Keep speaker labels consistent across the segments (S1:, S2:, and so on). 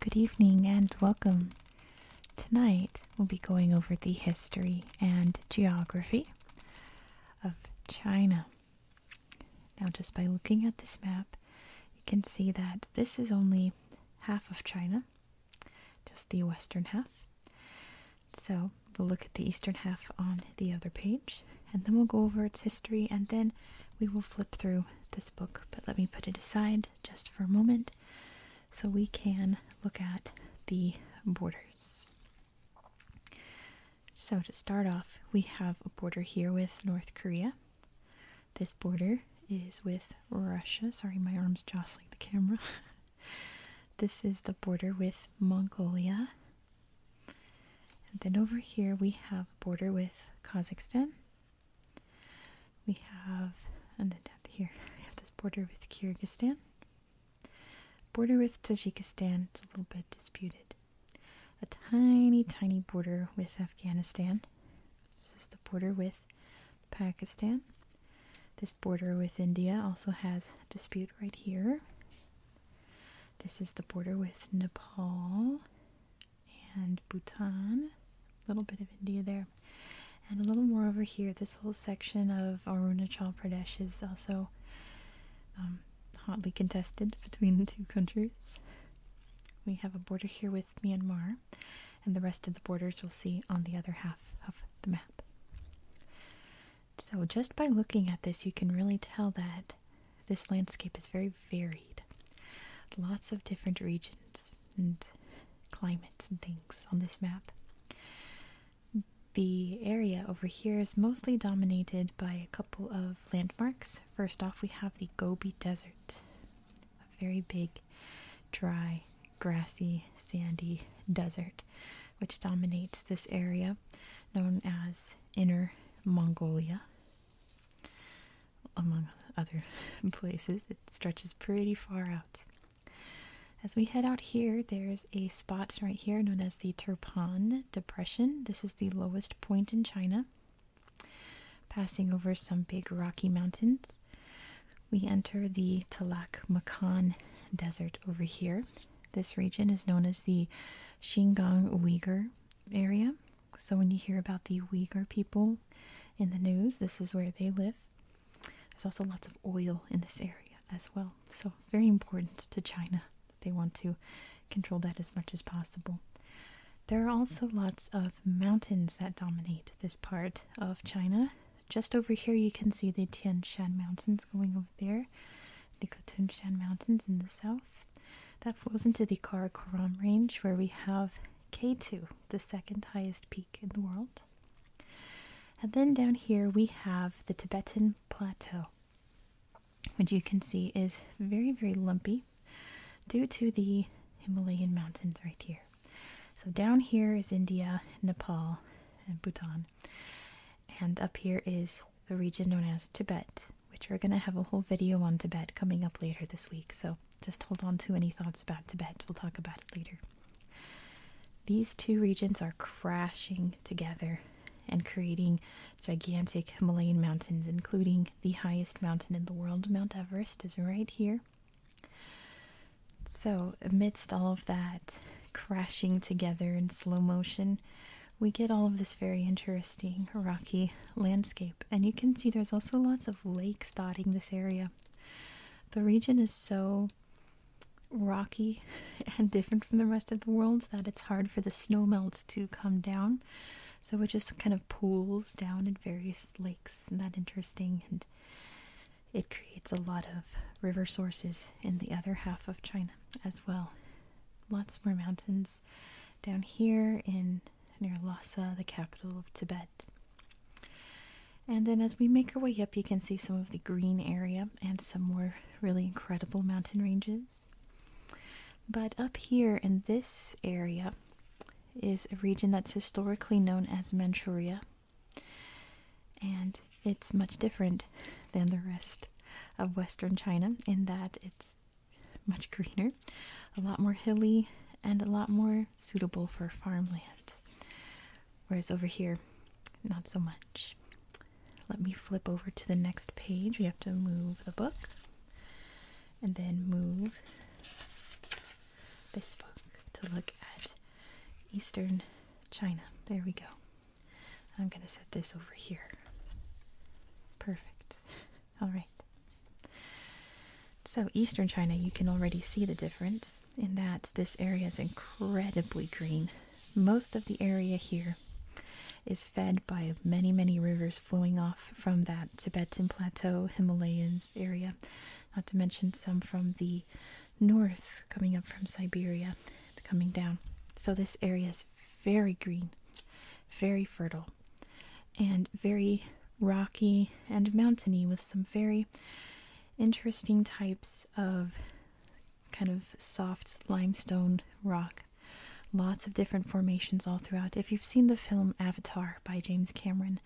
S1: Good evening and welcome. Tonight we'll be going over the history and geography of China. Now, just by looking at this map, you can see that this is only half of China just the western half. So we'll look at the eastern half on the other page, and then we'll go over its history, and then we will flip through this book. But let me put it aside just for a moment so we can look at the borders. So, to start off, we have a border here with North Korea. This border is with Russia. Sorry, my arm's jostling the camera. This is the border with Mongolia. And then over here we have border with Kazakhstan. We have, and then down here we have this border with Kyrgyzstan. Border with Tajikistan, it's a little bit disputed. A tiny, tiny border with Afghanistan. This is the border with Pakistan. This border with India also has dispute right here. This is the border with Nepal and Bhutan. A little bit of India there. And a little more over here, this whole section of Arunachal Pradesh is also um, hotly contested between the two countries. We have a border here with Myanmar, and the rest of the borders we'll see on the other half of the map. So, just by looking at this, you can really tell that this landscape is very varied. Lots of different regions and climates and things on this map. The area over here is mostly dominated by a couple of landmarks. First off, we have the Gobi Desert, a very big, dry grassy, sandy desert which dominates this area known as Inner Mongolia. Among other places, it stretches pretty far out. As we head out here, there's a spot right here known as the Turpan Depression. This is the lowest point in China, passing over some big rocky mountains we enter the Talak Makan Desert over here. This region is known as the Xinjiang Uyghur area. So when you hear about the Uyghur people in the news, this is where they live. There's also lots of oil in this area as well. So very important to China. They want to control that as much as possible. There are also lots of mountains that dominate this part of China just over here you can see the Tian Shan Mountains going over there, the Khotun Shan Mountains in the south. That flows into the Karakoram Range where we have K2, the second highest peak in the world. And then down here we have the Tibetan Plateau, which you can see is very, very lumpy due to the Himalayan mountains right here. So down here is India, Nepal, and Bhutan. And up here is the region known as Tibet, which we're going to have a whole video on Tibet coming up later this week. So just hold on to any thoughts about Tibet. We'll talk about it later. These two regions are crashing together and creating gigantic Himalayan mountains, including the highest mountain in the world, Mount Everest, is right here. So, amidst all of that crashing together in slow motion, we get all of this very interesting rocky landscape. And you can see there's also lots of lakes dotting this area. The region is so rocky and different from the rest of the world that it's hard for the snow snowmelt to come down. So it just kind of pools down in various lakes. Isn't that interesting? And it creates a lot of river sources in the other half of China as well. Lots more mountains down here in near Lhasa, the capital of Tibet. And then as we make our way up, you can see some of the green area and some more really incredible mountain ranges. But up here in this area is a region that's historically known as Manchuria and it's much different than the rest of Western China in that it's much greener, a lot more hilly, and a lot more suitable for farmland. Whereas over here, not so much. Let me flip over to the next page. We have to move the book and then move this book to look at Eastern China. There we go. I'm going to set this over here. Perfect. All right. So, eastern China, you can already see the difference in that this area is incredibly green. Most of the area here is fed by many, many rivers flowing off from that Tibetan Plateau, Himalayas area, not to mention some from the north coming up from Siberia, coming down. So this area is very green, very fertile, and very rocky and mountainy with some very interesting types of kind of soft limestone rock. Lots of different formations all throughout. If you've seen the film Avatar by James Cameron,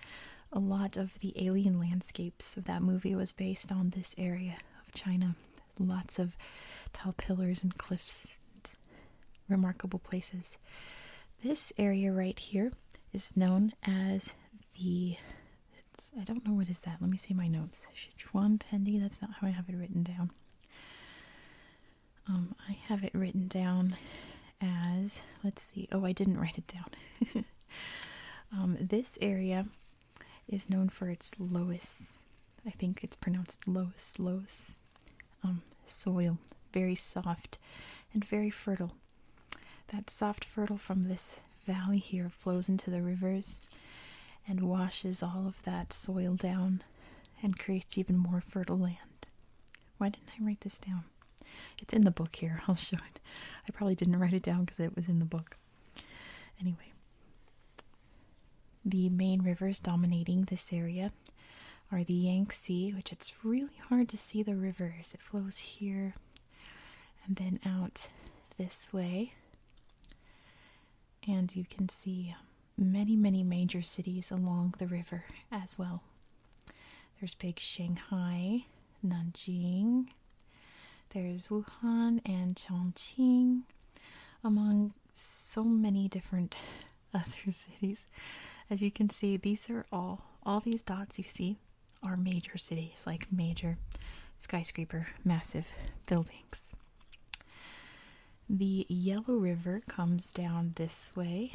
S1: a lot of the alien landscapes of that movie was based on this area of China. Lots of tall pillars and cliffs, remarkable places. This area right here is known as the. I don't know what is that. Let me see my notes. Sichuan Pendi. That's not how I have it written down. Um, I have it written down as let's see. Oh, I didn't write it down. Um, this area is known for its loess, I think it's pronounced loess, loess, um, soil. Very soft and very fertile. That soft fertile from this valley here flows into the rivers and washes all of that soil down and creates even more fertile land. Why didn't I write this down? It's in the book here. I'll show it. I probably didn't write it down because it was in the book. Anyway, the main rivers dominating this area are the Yangtze, which it's really hard to see the rivers. It flows here and then out this way. And you can see many, many major cities along the river as well. There's big Shanghai, Nanjing, there's Wuhan and Chongqing, among so many different other cities. As you can see, these are all, all these dots you see are major cities, like major skyscraper, massive buildings. The Yellow River comes down this way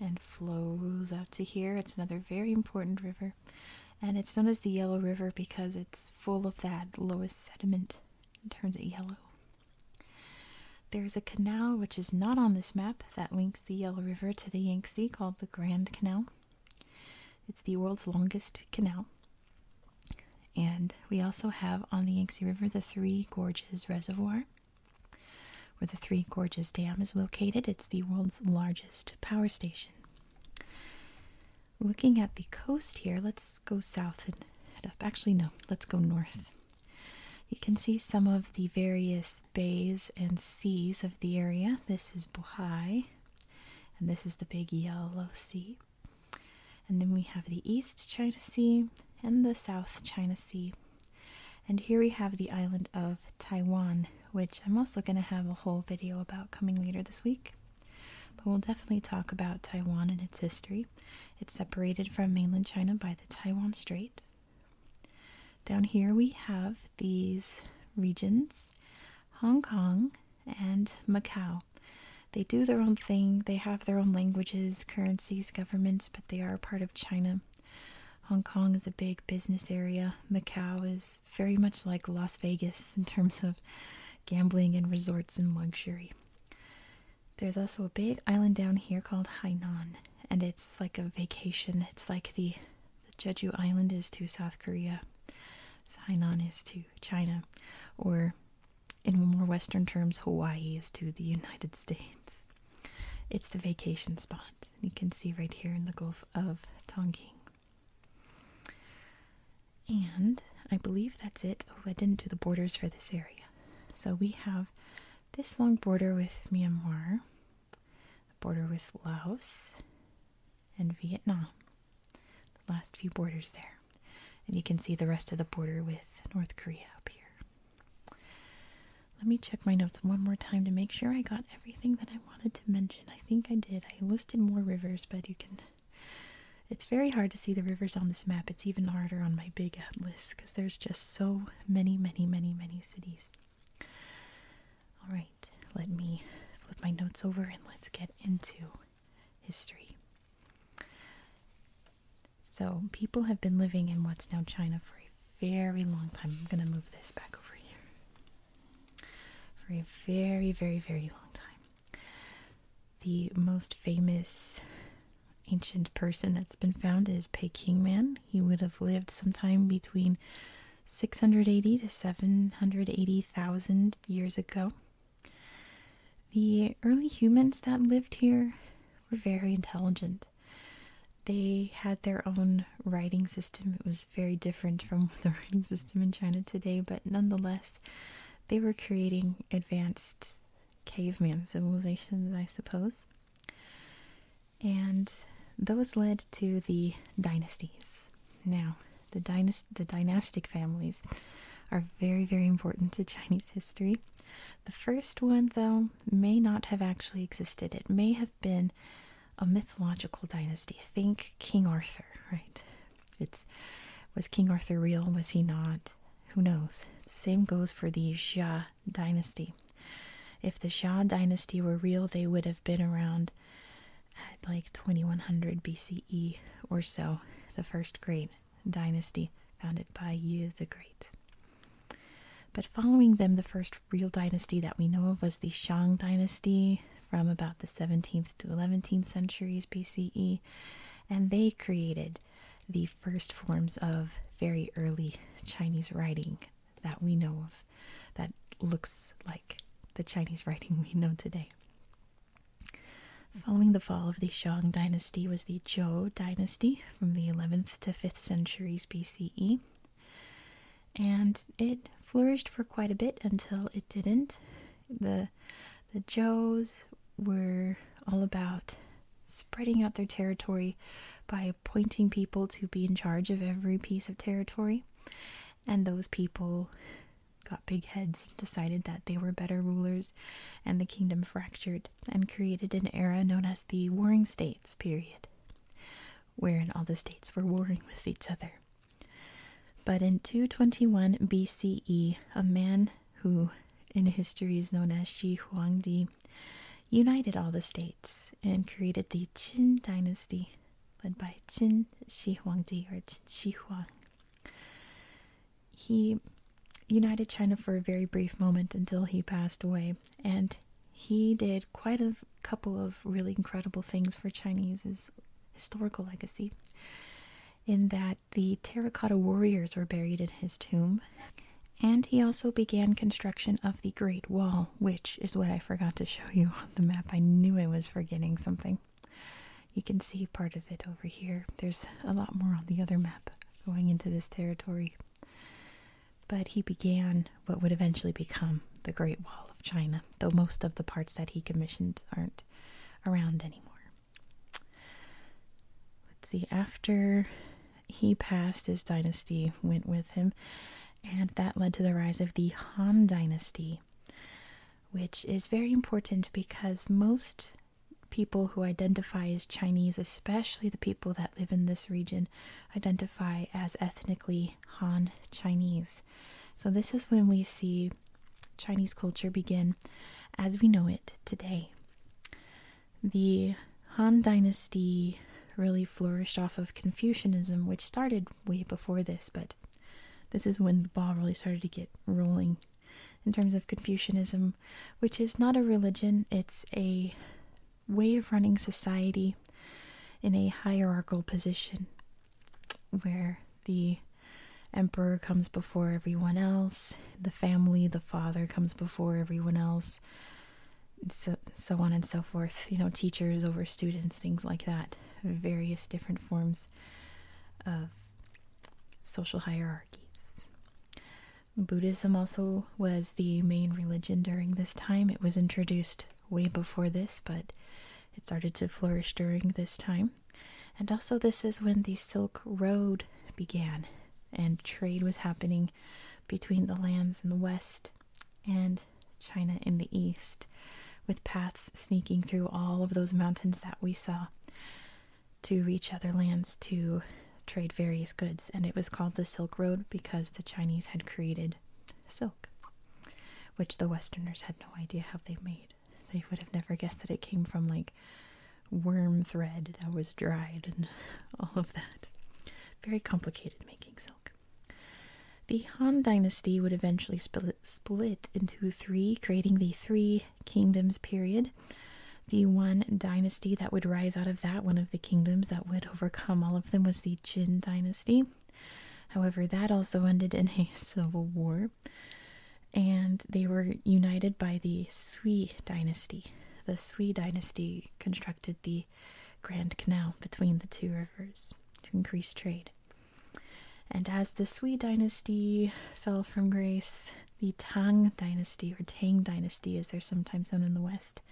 S1: and flows out to here. It's another very important river and it's known as the yellow river because it's full of that lowest sediment and turns it yellow there's a canal which is not on this map that links the yellow river to the yangtze called the grand canal it's the world's longest canal and we also have on the yangtze river the three gorges reservoir where the Three Gorges Dam is located. It's the world's largest power station looking at the coast here, let's go south and head up. Actually, no, let's go north. You can see some of the various bays and seas of the area. This is Bohai, and this is the big yellow sea. And then we have the East China Sea and the South China Sea. And here we have the island of Taiwan, which I'm also going to have a whole video about coming later this week. But we'll definitely talk about Taiwan and its history. It's separated from mainland China by the Taiwan Strait. Down here we have these regions Hong Kong and Macau. They do their own thing, they have their own languages, currencies, governments, but they are part of China. Hong Kong is a big business area. Macau is very much like Las Vegas in terms of gambling and resorts and luxury. There's also a big island down here called Hainan, and it's like a vacation. It's like the, the Jeju Island is to South Korea, Hainan is to China, or in more Western terms, Hawaii is to the United States. It's the vacation spot. You can see right here in the Gulf of Tonkin. And I believe that's it. Oh, I didn't do the borders for this area. So we have this long border with Myanmar, a border with Laos, and Vietnam. last few borders there. And you can see the rest of the border with North Korea up here. Let me check my notes one more time to make sure I got everything that I wanted to mention. I think I did. I listed more rivers, but you can it's very hard to see the rivers on this map. It's even harder on my big atlas because there's just so many, many, many, many cities. All right, let me flip my notes over and let's get into history. So, people have been living in what's now China for a very long time. I'm going to move this back over here. For a very, very, very long time. The most famous ancient person that's been found is Man. He would have lived sometime between 680 to 780,000 years ago. The early humans that lived here were very intelligent. They had their own writing system. It was very different from the writing system in China today, but nonetheless, they were creating advanced caveman civilizations, I suppose. And those led to the dynasties. Now, the, dynast the dynastic families are very, very important to Chinese history. The first one, though, may not have actually existed. It may have been a mythological dynasty. Think King Arthur, right? It's was King Arthur real? Was he not? Who knows? Same goes for the Xia dynasty. If the Xia dynasty were real, they would have been around like 2100 BCE or so, the first great dynasty founded by Yu the Great. But following them, the first real dynasty that we know of was the Shang dynasty, from about the 17th to 11th centuries BCE, and they created the first forms of very early Chinese writing that we know of that looks like the Chinese writing we know today. Following the fall of the Shang dynasty was the Zhou dynasty from the 11th to 5th centuries BCE. And it flourished for quite a bit until it didn't. The the the Joes were all about spreading out their territory by appointing people to be in charge of every piece of territory. And those people got big heads, and decided that they were better rulers, and the kingdom fractured and created an era known as the Warring States period, wherein all the states were warring with each other. But in 221 BCE, a man who in history is known as Shi Huangdi united all the states and created the Qin dynasty, led by Qin Shi Huangdi or Qin Shi Huang. He united China for a very brief moment until he passed away, and he did quite a couple of really incredible things for Chinese historical legacy in that the terracotta warriors were buried in his tomb. And he also began construction of the Great Wall, which is what I forgot to show you on the map. I knew I was forgetting something. You can see part of it over here. There's a lot more on the other map going into this territory. But he began what would eventually become the Great Wall of China, though most of the parts that he commissioned aren't around anymore. Let's see, after he passed, his dynasty went with him, and that led to the rise of the Han Dynasty, which is very important because most people who identify as Chinese, especially the people that live in this region, identify as ethnically Han Chinese. So, this is when we see Chinese culture begin as we know it today. The Han Dynasty really flourished off of Confucianism, which started way before this, but this is when the ball really started to get rolling in terms of Confucianism, which is not a religion, it's a way of running society in a hierarchical position where the emperor comes before everyone else, the family, the father comes before everyone else, so, on and so forth. You know, teachers over students, things like that. Various different forms of social hierarchies. Buddhism also was the main religion during this time. It was introduced way before this, but it started to flourish during this time. And also, this is when the Silk Road began, and trade was happening between the lands in the west and China in the east, with paths sneaking through all of those mountains that we saw to reach other lands to trade various goods. And it was called the Silk Road because the Chinese had created silk, which the Westerners had no idea how they made. They would have never guessed that it came from like worm thread that was dried and all of that. Very complicated making silk. The Han dynasty would eventually split into three, creating the Three Kingdoms period. The one dynasty that would rise out of that, one of the kingdoms that would overcome all of them, was the Jin dynasty. However, that also ended in a civil war and they were united by the Sui dynasty. The Sui dynasty constructed the Grand Canal between the two rivers to increase trade. And as the Sui dynasty fell from grace, the Tang dynasty, or Tang dynasty as they're sometimes known in the West,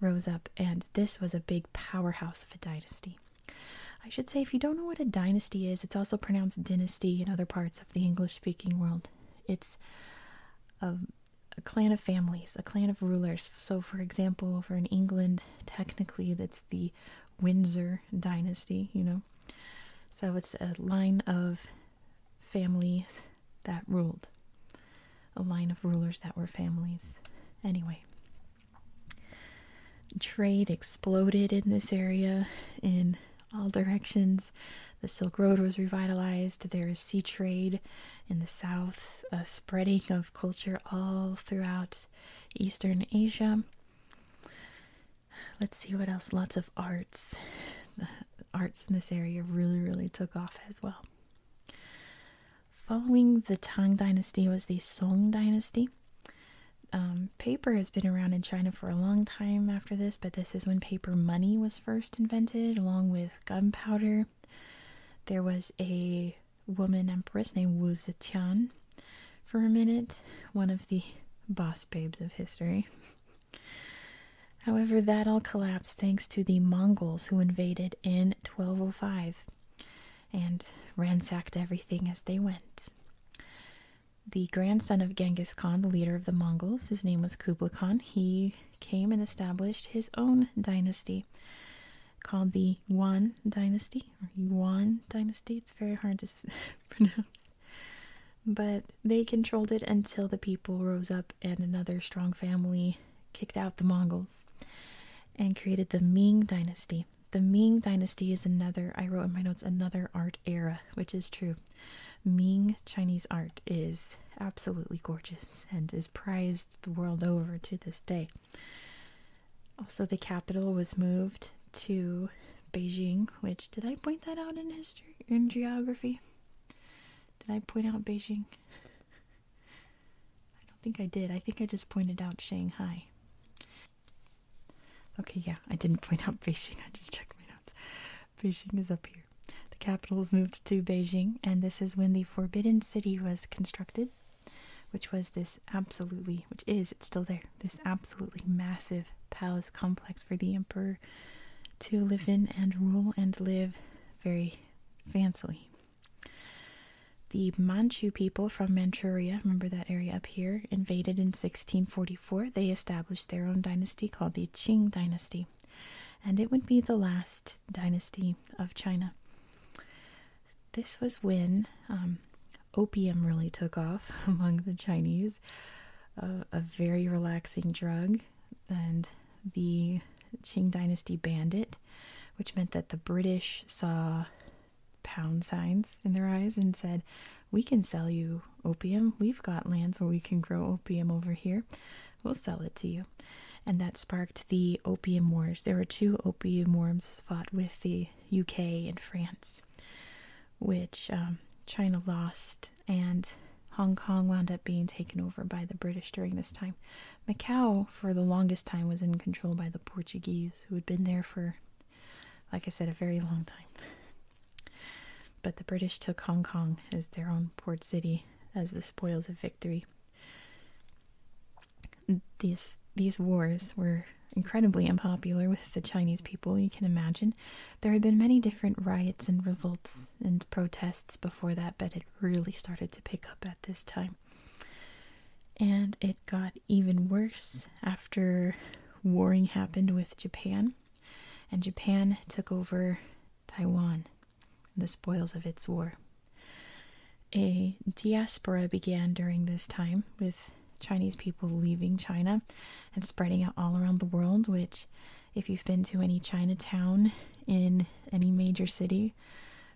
S1: rose up, and this was a big powerhouse of a dynasty. I should say, if you don't know what a dynasty is, it's also pronounced dynasty in other parts of the English speaking world. It's a, clan of families, a clan of rulers. So, for example, for in England, technically that's the Windsor dynasty, you know. So, it's a line of families that ruled, a line of rulers that were families. Anyway, trade exploded in this area in all directions. The Silk Road was revitalized. There is sea trade in the south, a spreading of culture all throughout Eastern Asia. Let's see what else. Lots of arts. The arts in this area really, really took off as well. Following the Tang Dynasty was the Song Dynasty. Um, paper has been around in China for a long time after this, but this is when paper money was first invented, along with gunpowder. There was a woman empress named Wu Zetian for a minute, one of the boss babes of history. However, that all collapsed thanks to the Mongols who invaded in 1205 and ransacked everything as they went the grandson of Genghis Khan, the leader of the Mongols. His name was Kublai Khan. He came and established his own dynasty called the Yuan Dynasty or Yuan Dynasty. It's very hard to pronounce. But they controlled it until the people rose up and another strong family kicked out the Mongols and created the Ming Dynasty. The Ming dynasty is another, I wrote in my notes, another art era, which is true. Ming Chinese art is absolutely gorgeous and is prized the world over to this day. Also, the capital was moved to Beijing, which did I point that out in history, in geography? Did I point out Beijing? I don't think I did. I think I just pointed out Shanghai. Okay, yeah, I didn't point out Beijing. I just checked my notes. Beijing is up here. The capital is moved to Beijing, and this is when the Forbidden City was constructed, which was this absolutely, which is, it's still there, this absolutely massive palace complex for the emperor to live in and rule and live very fancily. The Manchu people from Manchuria, remember that area up here, invaded in 1645 1854, they established their own dynasty called the Qing Dynasty, and it would be the last dynasty of China. This was when um, opium really took off among the Chinese, a very relaxing drug, and the Qing Dynasty banned it, which meant that the British saw pound signs in their eyes and said, We can sell you opium. We've got lands where we can grow opium over here. We'll sell it to you. And that sparked the Opium Wars. There were two opium wars fought with the UK and France, which um, China lost, and Hong Kong wound up being taken over by the British during this time. Macau, for the longest time, was in control by the Portuguese, who had been there for like I said, a very long time. But the British took Hong Kong as their own port city as the spoils of victory. These these wars were incredibly unpopular with the Chinese people, you can imagine. There had been many different riots and revolts and protests before that, but it really started to pick up at this time. And it got even worse after warring happened with Japan, and Japan took over Taiwan, the spoils of its war. A diaspora began during this time with Chinese people leaving China and spreading out all around the world, which, if you've been to any Chinatown in any major city,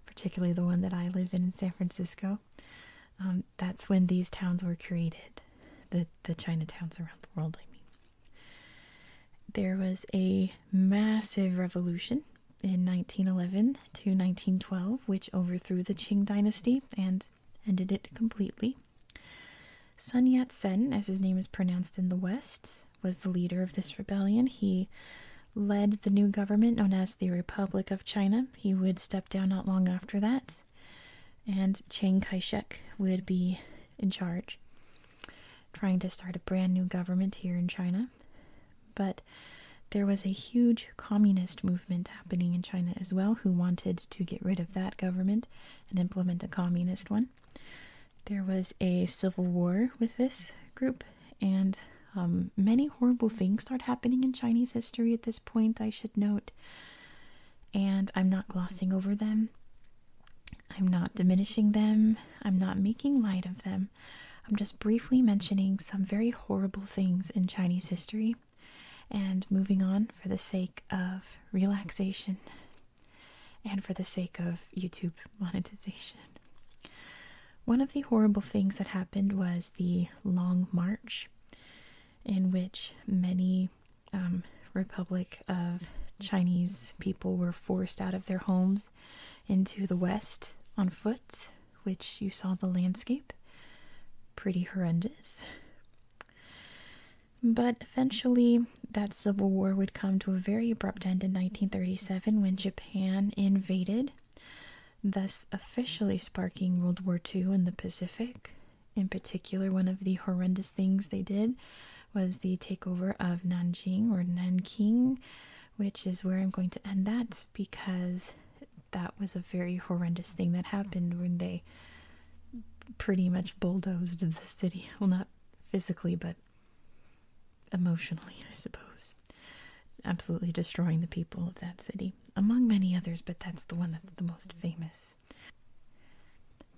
S1: particularly the one that I live in in San Francisco, um, that's when these towns were created, the the Chinatowns around the world. I mean, there was a massive revolution in 1911 to 1912, which overthrew the Qing dynasty and ended it completely. Sun Yat sen, as his name is pronounced in the West, was the leader of this rebellion. He led the new government known as the Republic of China. He would step down not long after that and Chiang Kai shek would be in charge, trying to start a brand new government here in China. But there was a huge communist movement happening in China as well, who wanted to get rid of that government and implement a communist one. There was a civil war with this group, and um, many horrible things start happening in Chinese history at this point, I should note and I'm not glossing over them. I'm not diminishing them. I'm not making light of them. I'm just briefly mentioning some very horrible things in Chinese history and moving on for the sake of relaxation and for the sake of YouTube monetization. One of the horrible things that happened was the Long March, in which many um, Republic of Chinese people were forced out of their homes into the West on foot, which you saw the landscape. Pretty horrendous. But eventually, that civil war would come to a very abrupt end in 1937 when Japan invaded, thus officially sparking World War II in the Pacific. In particular, one of the horrendous things they did was the takeover of Nanjing or Nan King, which is where I'm going to end that because that was a very horrendous thing that happened when they pretty much bulldozed the city. Well, not physically, but emotionally, I suppose. Absolutely destroying the people of that city, among many others, but that's the one that's the most famous.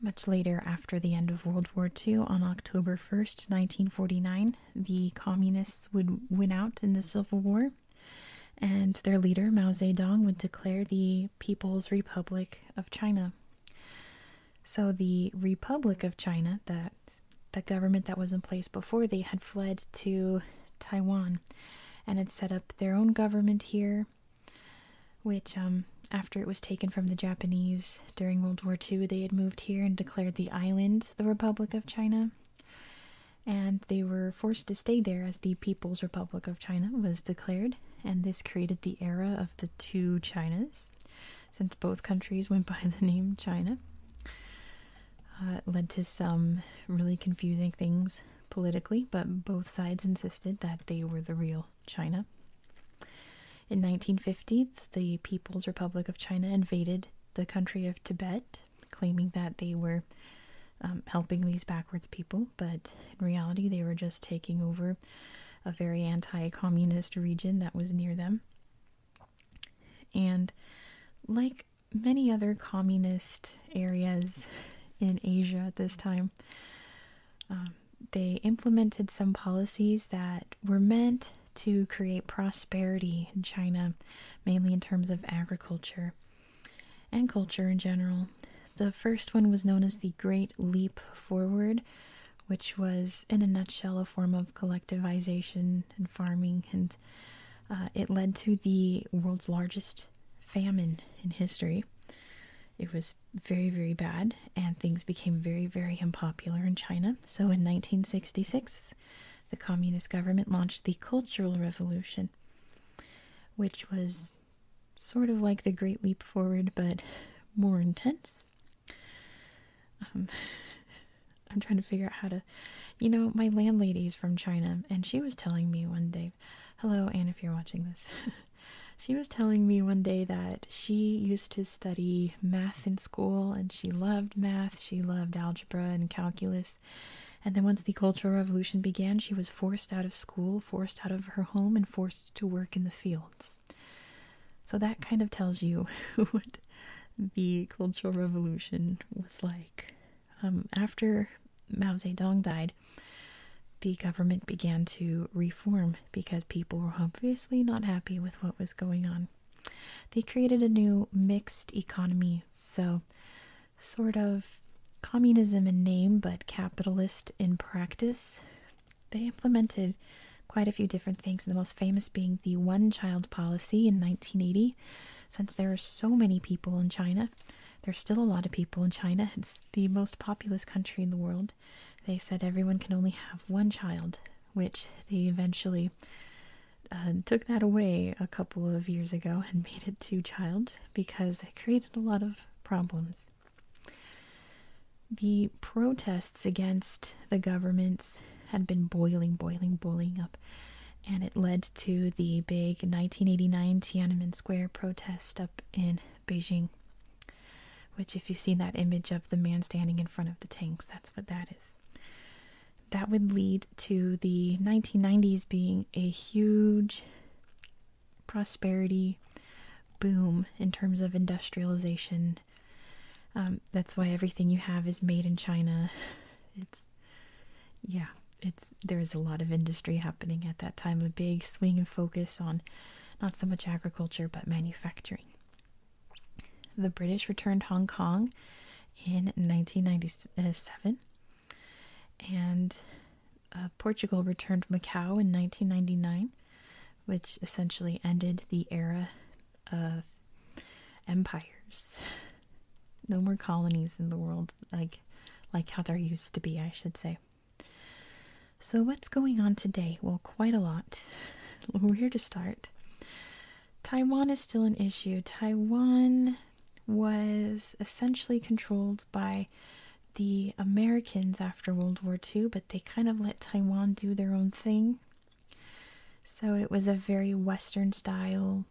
S1: Much later, after the end of World War II, on October 1st, 1949, the communists would win out in the Civil War, and their leader, Mao Zedong, would declare the People's Republic of China. So, the Republic of China, that the government that was in place before, they had fled to Taiwan and had set up their own government here which um, after it was taken from the Japanese during World War II, they had moved here and declared the island the Republic of China. And they were forced to stay there as the People's Republic of China was declared, and this created the era of the two Chinas, since both countries went by the name China. Uh, it led to some really confusing things politically, but both sides insisted that they were the real China. In 1950, the People's Republic of China invaded the country of Tibet, claiming that they were um, helping these backwards people, but in reality, they were just taking over a very anti communist region that was near them. And like many other communist areas in Asia at this time. Um, they implemented some policies that were meant to create prosperity in China, mainly in terms of agriculture and culture in general. The first one was known as the Great Leap Forward, which was, in a nutshell, a form of collectivization and farming, and uh, it led to the world's largest famine in history. It was very, very bad, and things became very, very unpopular in China. So in 1966, the communist government launched the Cultural Revolution, which was sort of like the Great Leap Forward, but more intense. Um, I'm trying to figure out how to. You know, my landlady is from China, and she was telling me one day, hello, Anne, if you're watching this. she was telling me one day that she used to study math in school and she loved math, she loved algebra and calculus. And then once the Cultural Revolution began, she was forced out of school, forced out of her home, and forced to work in the fields. So that kind of tells you what the Cultural Revolution was like. Um, after Mao Zedong died, the government began to reform because people were obviously not happy with what was going on. They created a new mixed economy, so sort of communism in name but capitalist in practice. They implemented quite a few different things, the most famous being the one child policy in 1980. Since there are so many people in China, there's still a lot of people in China. It's the most populous country in the world. They said everyone can only have one child, which they eventually uh, took that away a couple of years ago and made it two child because it created a lot of problems. The protests against the governments had been boiling, boiling, boiling up, and it led to the big 1989 Tiananmen Square protest in Beijing. Which, if you've seen that image of the man standing in front of the tanks, that's what that is. That would lead to the 1990s being a huge prosperity boom in terms of industrialization. Um, that's why everything you have is made in China. It's, yeah, it's there was a lot of industry happening at that time, a big swing and focus on not so much agriculture but manufacturing. The British returned Hong Kong in 1997, and uh, Portugal returned Macau in 1999, which essentially ended the era of empires. No more colonies in the world, like like how there used to be, I should say. So, what's going on today? Well, quite a lot. Where to start? Taiwan is still an issue. Taiwan was essentially controlled by the Americans after World War II, but they kind of let Taiwan do their own thing. So it was a very Western style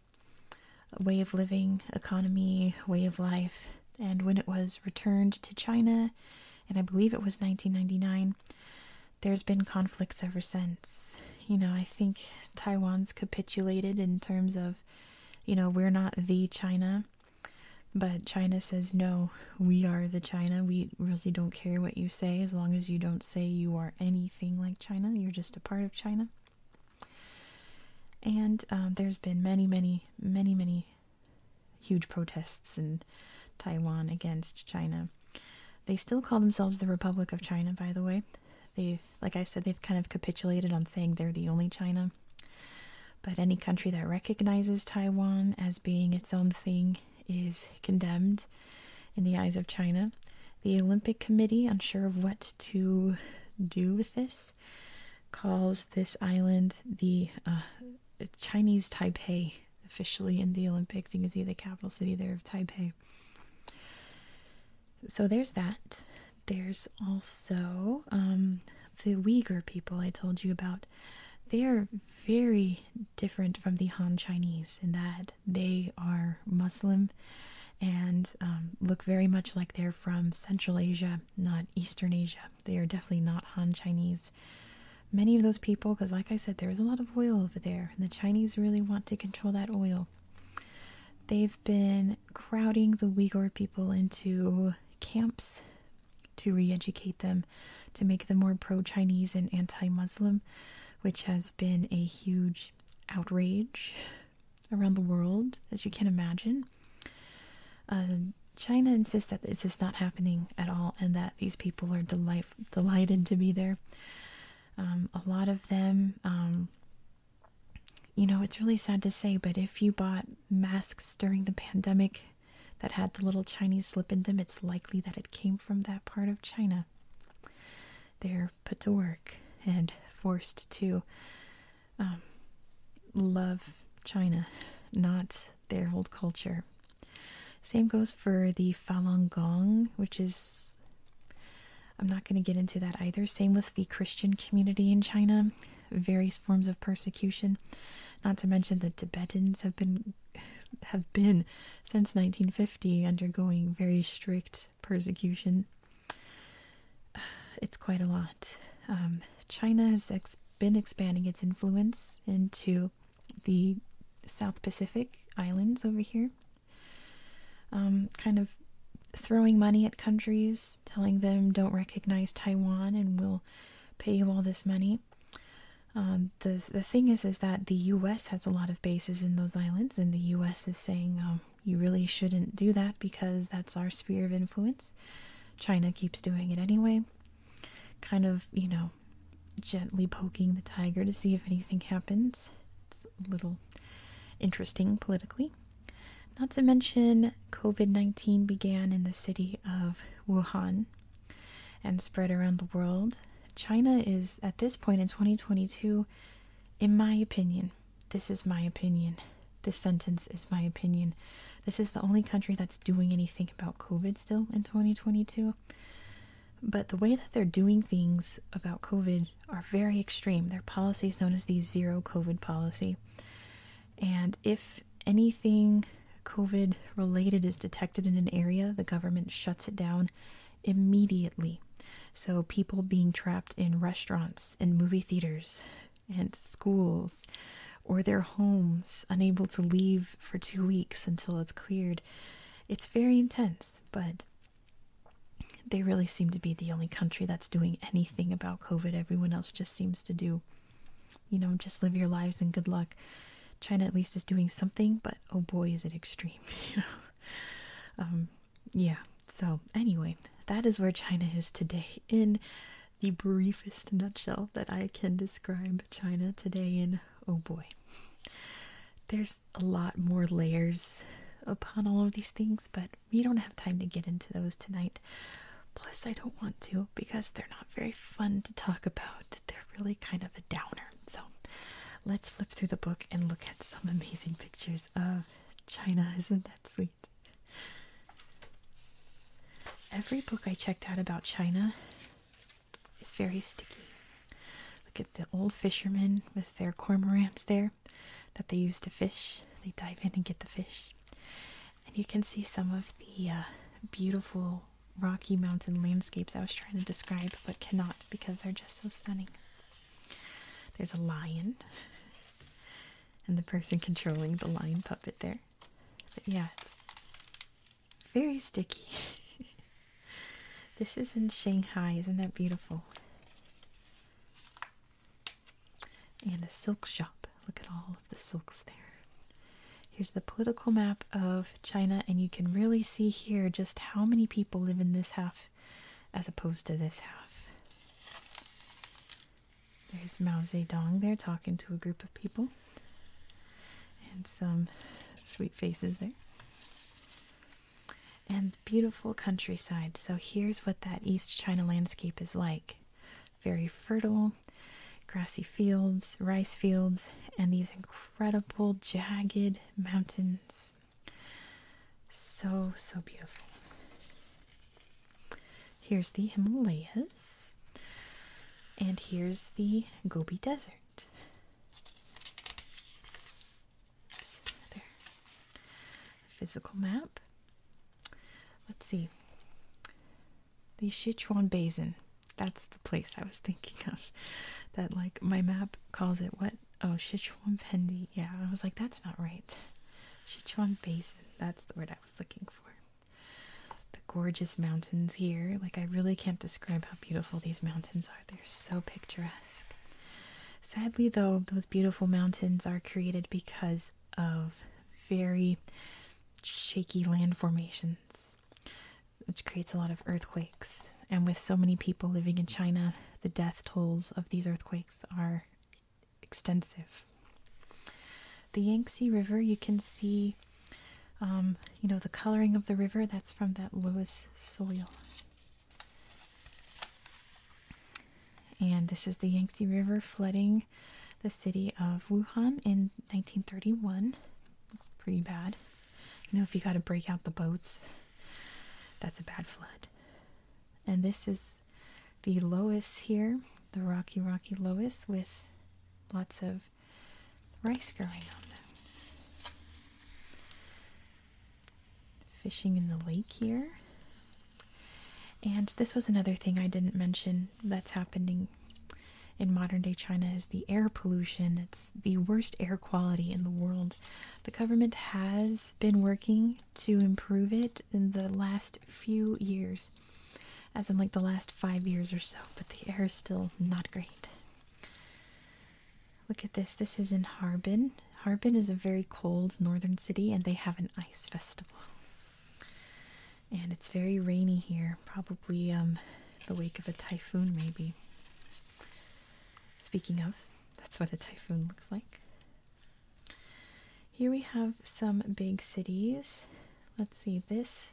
S1: way of living, economy, way of life and when it was returned to China, and I believe it was 1999, there's been conflicts ever since. You know, I think Taiwan's capitulated in terms of, you know, we're not the China, but China says, no, we are the China. We really don't care what you say as long as you don't say you are anything like China, you're just a part of China. And um, there's been many, many, many, many huge protests in Taiwan against China. They still call themselves the Republic of China, by the way. They've, like I said, they've kind of capitulated on saying they're the only China. But any country that recognizes Taiwan as being its own thing is condemned in the eyes of China. The Olympic Committee, unsure of what to do with this, calls this island the uh, Chinese Taipei, officially in the Olympics. You can see the capital city there of Taipei. So there's that. There's also um, the Uyghur people I told you about. They are very different from the Han Chinese in that they are Muslim and um, look very much like they're from Central Asia, not Eastern Asia. They are definitely not Han Chinese. Many of those people, because like I said, there is a lot of oil over there, and the Chinese really want to control that oil. They've been crowding the Uyghur people into camps to re educate them, to make them more pro Chinese and anti Muslim, which has been a huge outrage around the world, as you can imagine. Uh, China insists that this is not happening at all and that these people are delight delighted to be there. Um, a lot of them, um, you know, it's really sad to say, but if you bought masks during the pandemic that had the little Chinese slip in them, it's likely that it came from that part of China. They're put to work and forced to um, love China, not their old culture. Same goes for the Falun Gong, which is, I'm not going to get into that either. Same with the Christian community in China, various forms of persecution. Not to mention the Tibetans have been have been since 1950 undergoing very strict persecution it's quite a lot. Um, China has been expanding its influence into the South Pacific islands over here, um, kind of throwing money at countries, telling them don't recognize Taiwan and we'll pay you all this money. Um, the the thing is is that the U.S. has a lot of bases in those islands, and the U.S. is saying you really shouldn't do that because that's our sphere of influence. China keeps doing it anyway. Kind of, you know, gently poking the tiger to see if anything happens. It's a little interesting politically. Not to mention, COVID 19 began in the city of Wuhan and spread around the world. China is, at this point in 2022, in my opinion, this is my opinion, this sentence is my opinion. This is the only country that's doing anything about COVID still in 2022. But the way that they're doing things about COVID are very extreme. Their policies, known as the zero COVID policy. And if anything COVID related is detected in an area, the government shuts it down immediately. So, people being trapped in restaurants, in movie theaters, and schools or their homes, unable to leave for two weeks until it's cleared. It's very intense, but they really seem to be the only country that's doing anything about COVID. Everyone else just seems to do, you know, just live your lives and good luck. China at least is doing something, but oh boy, is it extreme, you know. Um, yeah. So anyway, that is where China is today in the briefest nutshell that I can describe China today in. Oh boy. There's a lot more layers upon all of these things, but we don't have time to get into those tonight. Plus, I don't want to because they're not very fun to talk about. They're really kind of a downer. So, let's flip through the book and look at some amazing pictures of China. Isn't that sweet? Every book I checked out about China is very sticky. Look at the old fishermen with their cormorants there that they use to fish. They dive in and get the fish. And you can see some of the uh, beautiful Rocky Mountain landscapes I was trying to describe but cannot because they're just so stunning. There's a lion and the person controlling the lion puppet there. But yeah, it's very sticky. this is in Shanghai. Isn't that beautiful? And a silk shop. Look at all of the silks there. Here's the political map of China, and you can really see here just how many people live in this half as opposed to this half. There's Mao Zedong there talking to a group of people, and some sweet faces there. And beautiful countryside. So here's what that East China landscape is like very fertile, grassy fields, rice fields, and these incredible jagged mountains. So, so beautiful. Here's the Himalayas, and here's the Gobi Desert. there. Physical map. Let's see. The Sichuan Basin. That's the place I was thinking of. That, like, my map calls it what? Oh, Sichuan Pendi. Yeah, I was like, that's not right. Sichuan Basin. That's the word I was looking for the gorgeous mountains here. Like, I really can't describe how beautiful these mountains are. They're so picturesque. Sadly, though, those beautiful mountains are created because of very shaky land formations, which creates a lot of earthquakes. And with so many people living in China, the death tolls of these earthquakes are extensive. The Yangtze River, you can see, um, you know, the coloring of the river, that's from that Loess soil. And this is the Yangtze River flooding the city of Wuhan in 1931. Looks pretty bad. You know, if you got to break out the boats, that's a bad flood. And this is the loess here, the rocky, rocky loess with lots of rice growing on them. Fishing in the lake here. And this was another thing I didn't mention that's happening in modern day China is the air pollution. It's the worst air quality in the world. The government has been working to improve it in the last few years as in like the last five years or so, but the air is still not great. Look at this. This is in Harbin. Harbin is a very cold northern city, and they have an ice festival. And it's very rainy here, probably um, the wake of a typhoon, maybe. Speaking of, that's what a typhoon looks like. Here we have some big cities. Let's see, this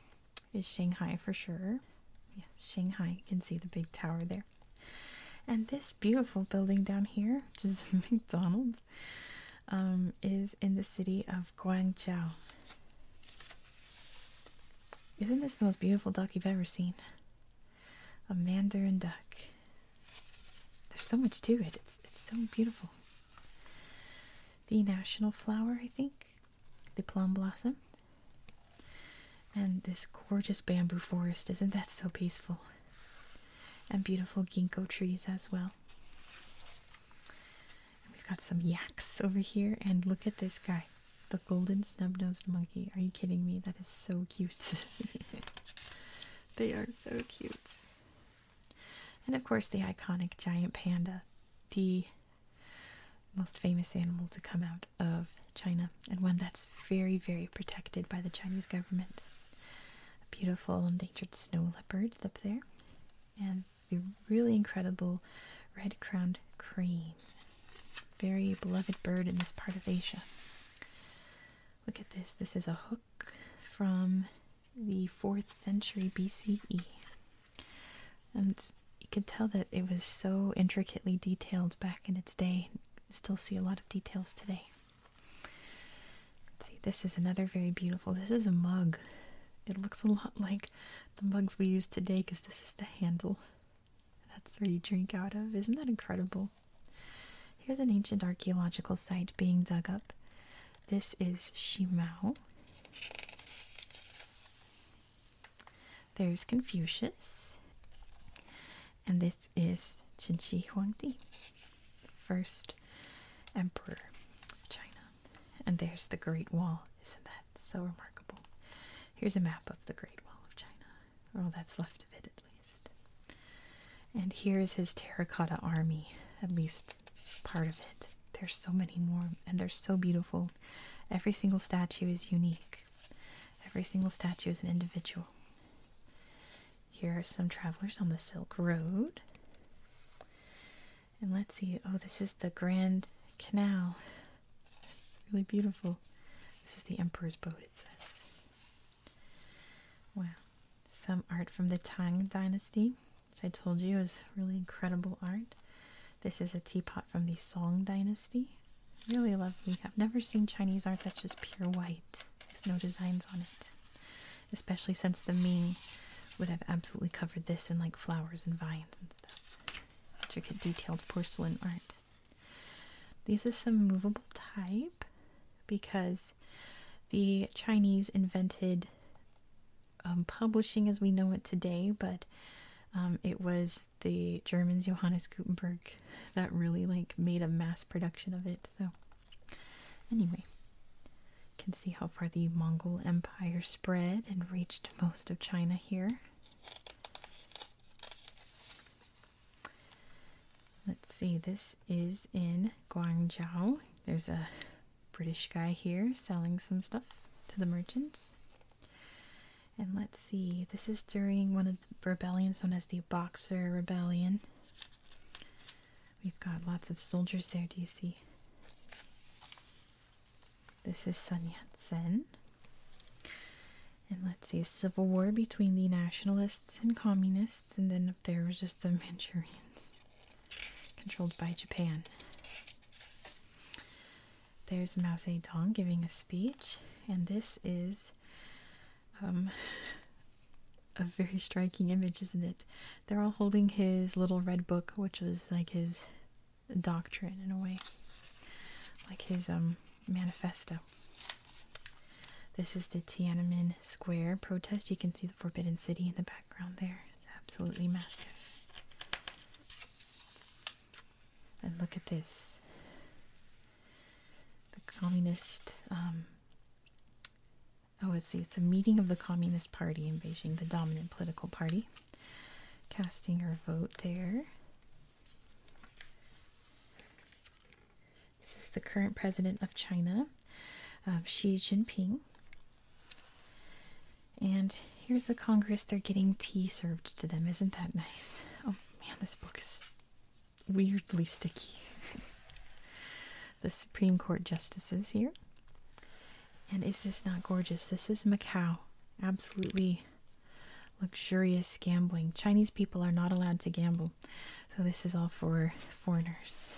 S1: is Shanghai for sure. Shanghai. You can see the big tower there. And this beautiful building down here, which is McDonald's, um, is in the city of Guangzhou. Isn't this the most beautiful duck you've ever seen? A mandarin duck. There's so much to it. It's it's so beautiful the national flower, I think, the plum blossom. And this gorgeous bamboo forest, isn't that so peaceful? And beautiful ginkgo trees as well. we've got some yaks over here, and look at this guy, the golden snub nosed monkey. Are you kidding me? That is so cute. they are so cute. And of course, the iconic giant panda, the most famous animal to come out of China, and one that's very, very protected by the Chinese government. A beautiful endangered snow leopard up there, and the really incredible red crowned crane. Very beloved bird in this part of Asia. Look at this. This is a hook from the 4th century BCE. And you can tell that it was so intricately detailed back in its day. still see a lot of details today. see, this is another very beautiful. This is a mug. It looks a lot like the mugs we use today because this is the handle. That's where you drink out of. Isn't that incredible? Here's an ancient archaeological site being dug up. This is Shimao. There's Confucius. And this is Qin Shi Huangdi, first emperor of China. And there's the Great Wall. Isn't that so remarkable? Here's a map of the Great Wall of China, or all that's left of it at least. And here's his terracotta army, at least part of it. There's so many more, and they're so beautiful. Every single statue is unique, every single statue is an individual. Here are some travelers on the Silk Road. And let's see, oh, this is the Grand Canal. It's really beautiful. This is the Emperor's boat, it says. Wow. Some art from the Tang Dynasty which I told you is really incredible art. This is a teapot from the Song Dynasty. Really lovely. I've never seen Chinese art that's just pure white with no designs on it, especially since the Ming would have absolutely covered this in like flowers and vines and stuff. Intricate detailed porcelain art. These is some movable type because the Chinese invented um, publishing as we know it today, but um, it was the Germans Johannes Gutenberg that really like made a mass production of it. So anyway, you can see how far the Mongol Empire spread and reached most of China here. Let's see, this is in Guangzhou. There's a British guy here selling some stuff to the merchants. And let's see, this is during one of the rebellions known as the Boxer Rebellion. We've got lots of soldiers there, do you see? This is Sun Yat-sen. And let's see, a civil war between the nationalists and communists, and then up there was just the Manchurians controlled by Japan. There's Mao Zedong giving a speech, and this is um, a very striking image, isn't it? They're all holding his little red book, which was like his doctrine in a way, like his um, manifesto. This is the Tiananmen Square protest. You can see the Forbidden City in the background there absolutely massive. And look at this the communist. Um, oh, let's see, it's a meeting of the Communist Party in Beijing, the dominant political party. Casting her vote there. This is the current president of China, uh, Xi Jinping. And here's the Congress. They're getting tea served to them. Isn't that nice? Oh man, this book is weirdly sticky. the Supreme Court justices here. And is this not gorgeous? This is Macau. Absolutely luxurious gambling. Chinese people are not allowed to gamble. So this is all for foreigners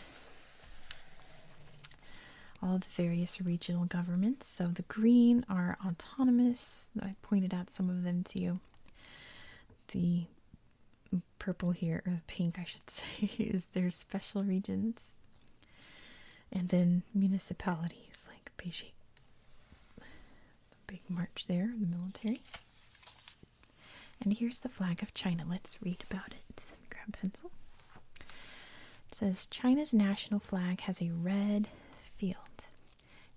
S1: all the various regional governments. So the green are autonomous. I pointed out some of them to you. The purple here, or pink I should say, is their special regions. And then municipalities like Beijing. The big march there, the military. And here's the flag of China. Let's read about it. Let pencil says China's national flag has a red field.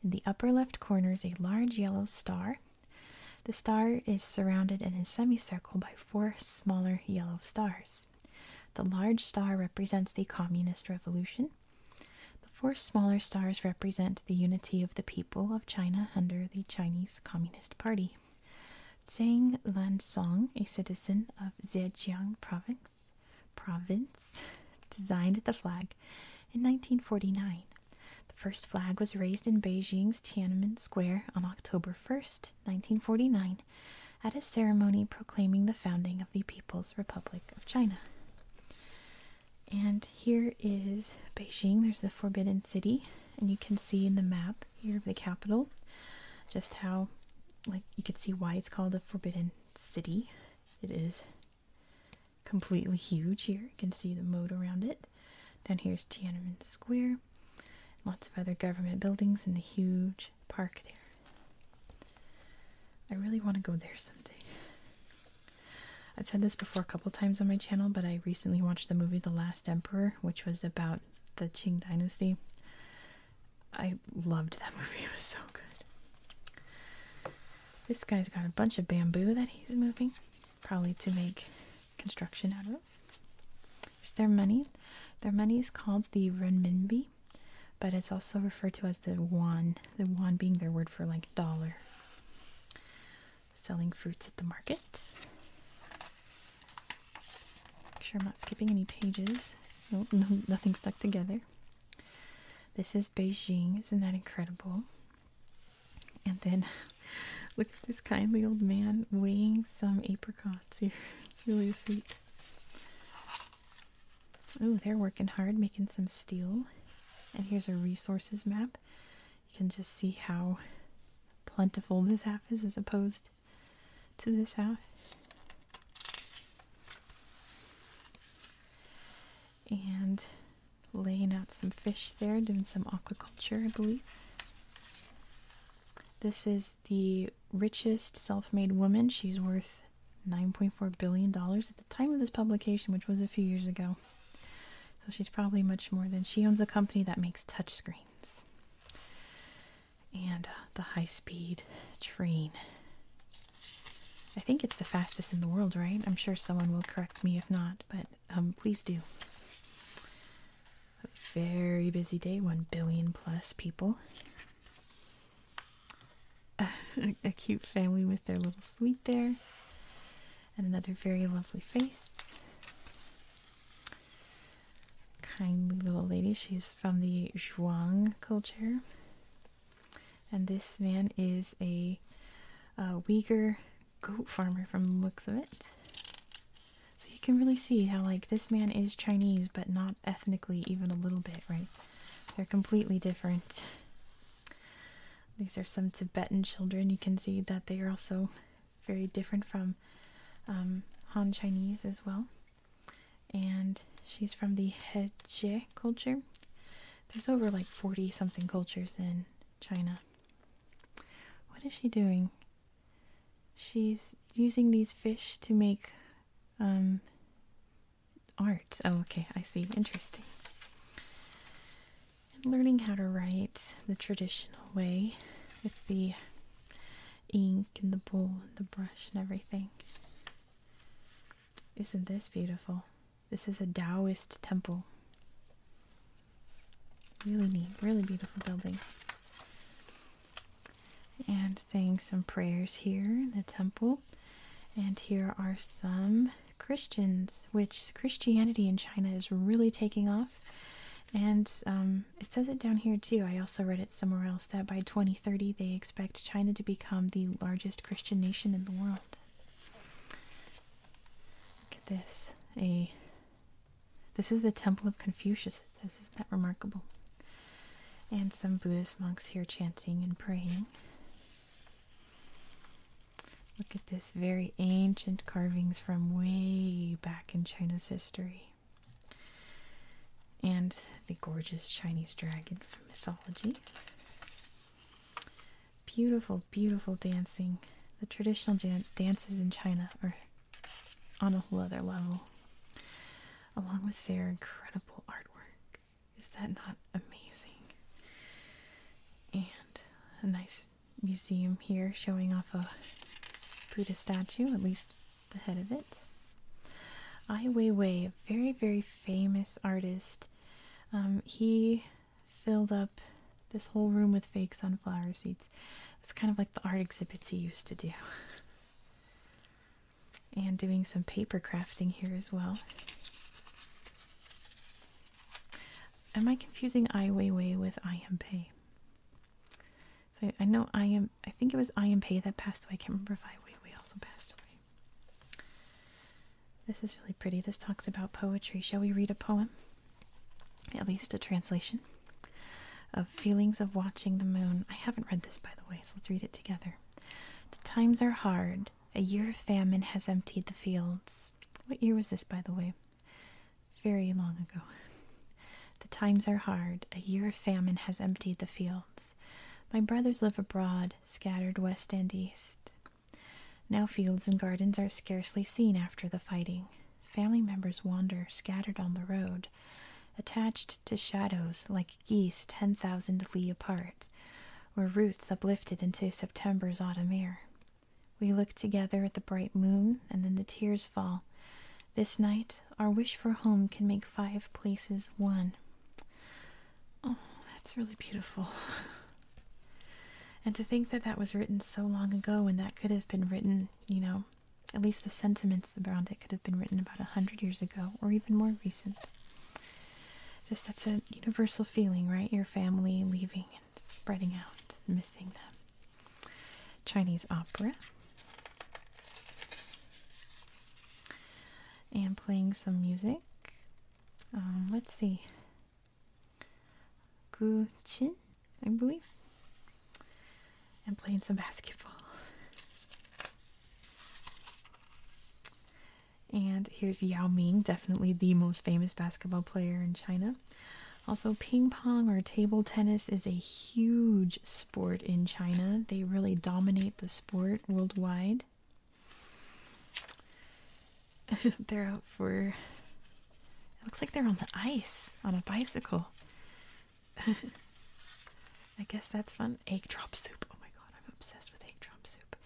S1: In the upper left corner is a large yellow star. The star is surrounded in a semicircle by four smaller yellow stars. The large star represents the Communist Revolution. The four smaller stars represent the unity of the people of China under the Chinese Communist Party. City. Zhang Lansong, a citizen of Zhejiang Province, province designed the flag in 1949. The first flag was raised in Beijing's Tiananmen Square on October 1st, 1949, at a ceremony proclaiming the founding of the People's Republic of China. And here is Beijing. There's the Forbidden City, and you can see in the map here of the capital just how like you could see why it's called the Forbidden City. It is completely huge here. You can see the moat around it. Down here is Tiananmen Square. Lots of other government buildings and the huge park there. I really want to go there someday. I've said this before a couple times on my channel, but I recently watched the movie The Last Emperor, which was about the Qing Dynasty. I loved that movie. It was so good. This guy's got a bunch of bamboo that he's moving, probably to make construction out of. There's their money. Their money is called the renminbi, but it's also referred to as the yuan. The yuan being their word for like dollar. Selling fruits at the market. Make sure I'm not skipping any pages. No, nothing stuck together. This is Beijing. Isn't that incredible? And then look at this kindly old man weighing some apricots here. It's really sweet. Oh, they're working hard making some steel. And here's our resources map. You can just see how plentiful this half is as opposed to this house. And laying out some fish there, doing some aquaculture, I believe. This is the richest self made woman. She's worth $9.4 billion at the time of this publication, which was a few years ago. So she's probably much more than she owns a company that makes touchscreens and uh, the high speed train. I think it's the fastest in the world, right? I'm sure someone will correct me if not, but um, please do. A very busy day, 1 billion plus people. A, cute family with their little sweet there, and another very lovely face kindly little lady. She's from the Zhuang culture. And this man is a, Uyghur goat farmer from the looks of it. So you can really see how, like, this man is Chinese, but not ethnically even a little bit, right? They're completely different. These are some Tibetan children. You can see that they are also very different from um, Han Chinese as well and she's from the Heje culture. There's over like 40 something cultures in China. What is she doing? She's using these fish to make um, art. Oh, okay, I see. Interesting. And learning how to write the traditional way with the ink and the bowl and the brush and everything. Isn't this beautiful? This is a Taoist temple. Really neat, really beautiful building. And saying some prayers here in the temple. And here are some Christians, which Christianity in China is really taking off. And um, it says it down here too. I also read it somewhere else that by 2030 they expect China to become the largest Christian nation in the world. Look at this. A this is the Temple of Confucius. isn't that remarkable? And some Buddhist monks here chanting and praying. Look at this very ancient carvings from way back in China's history and the gorgeous Chinese dragon from mythology. Beautiful, beautiful dancing. The traditional dances in China are on a whole other level, along with their incredible artwork. Is that not amazing? And a nice museum here showing off a Buddha statue, at least the head of it. Ai Weiwei, a very, very famous artist, um, he filled up this whole room with fakes on flower seeds. It's kind of like the art exhibits he used to do. and doing some paper crafting here as well. Am I confusing Ai with I Am Pei? So I know I I think it was I and Pei that passed away. I can't remember if I wait, we also passed away. This is really pretty. This talks about poetry. Shall we read a poem? At least a translation of Feelings of Watching the Moon. I haven't read this by the way, so let's read it together. The times are hard. A year of famine has emptied the fields. What year was this, by the way? Very long ago. The times are hard. A year of famine has emptied the fields. My brothers live abroad, scattered west and east. Now fields and gardens are scarcely seen after the fighting. Family members wander, scattered on the road, attached to shadows like geese ten thousand li apart, or roots uplifted into September's autumn air. We look together at the bright moon, and then the tears fall, this night, our wish for home can make five places one. Oh, that's really beautiful. and to think that that was written so long ago, and that could have been written, you know, at least the sentiments around it could have been written about a hundred years ago or even more recent. Just that's a universal feeling, right? Your family leaving and spreading out, missing them. Chinese opera and playing some music. Um, let's see. Guchin, I believe. And playing some basketball. And here's Yao Ming, definitely the most famous basketball player in China. Also, ping pong or table tennis is a huge sport in China. They really dominate the sport worldwide. they're out for. It looks like they're on the ice on a bicycle. I guess that's fun. Egg drop soup. Oh my god, I'm obsessed with egg drop soup.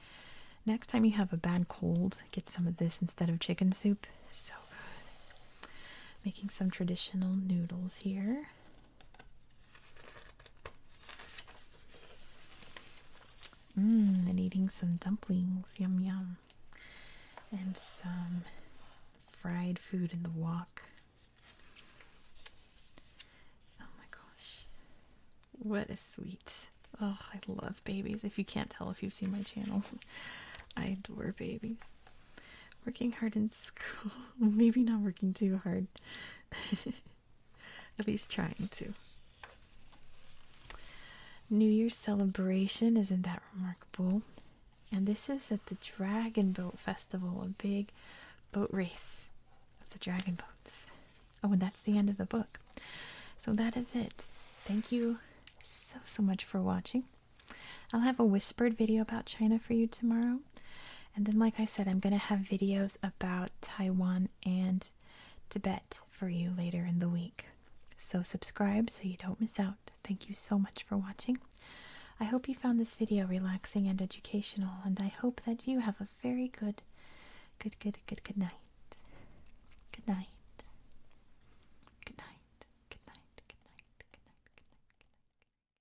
S1: Next time you have a bad cold, get some of this instead of chicken soup. So good. Making some traditional noodles here. Mmm, and eating some dumplings, yum yum. And some fried food in the walk. Oh my gosh. What a sweet. Oh, I love babies. If you can't tell if you've seen my channel, I adore babies. Working hard in school. Maybe not working too hard. At least trying to. New Year's celebration, isn't that remarkable? And this is at the Dragon Boat Festival, a big boat race of the dragon boats. Oh, and that's the end of the book. So that is it. Thank you so, so much for watching. I'll have a whispered video about China for you tomorrow. And then, like I said, I'm going to have videos about Taiwan and Tibet for you later in the week. So, subscribe so you don't miss out. Thank you so much for watching. I hope you found this video relaxing and educational, and I hope that you have a very good, good, good, good, Good night. Good night. Good night. Good night. Good night. Good night. Good night.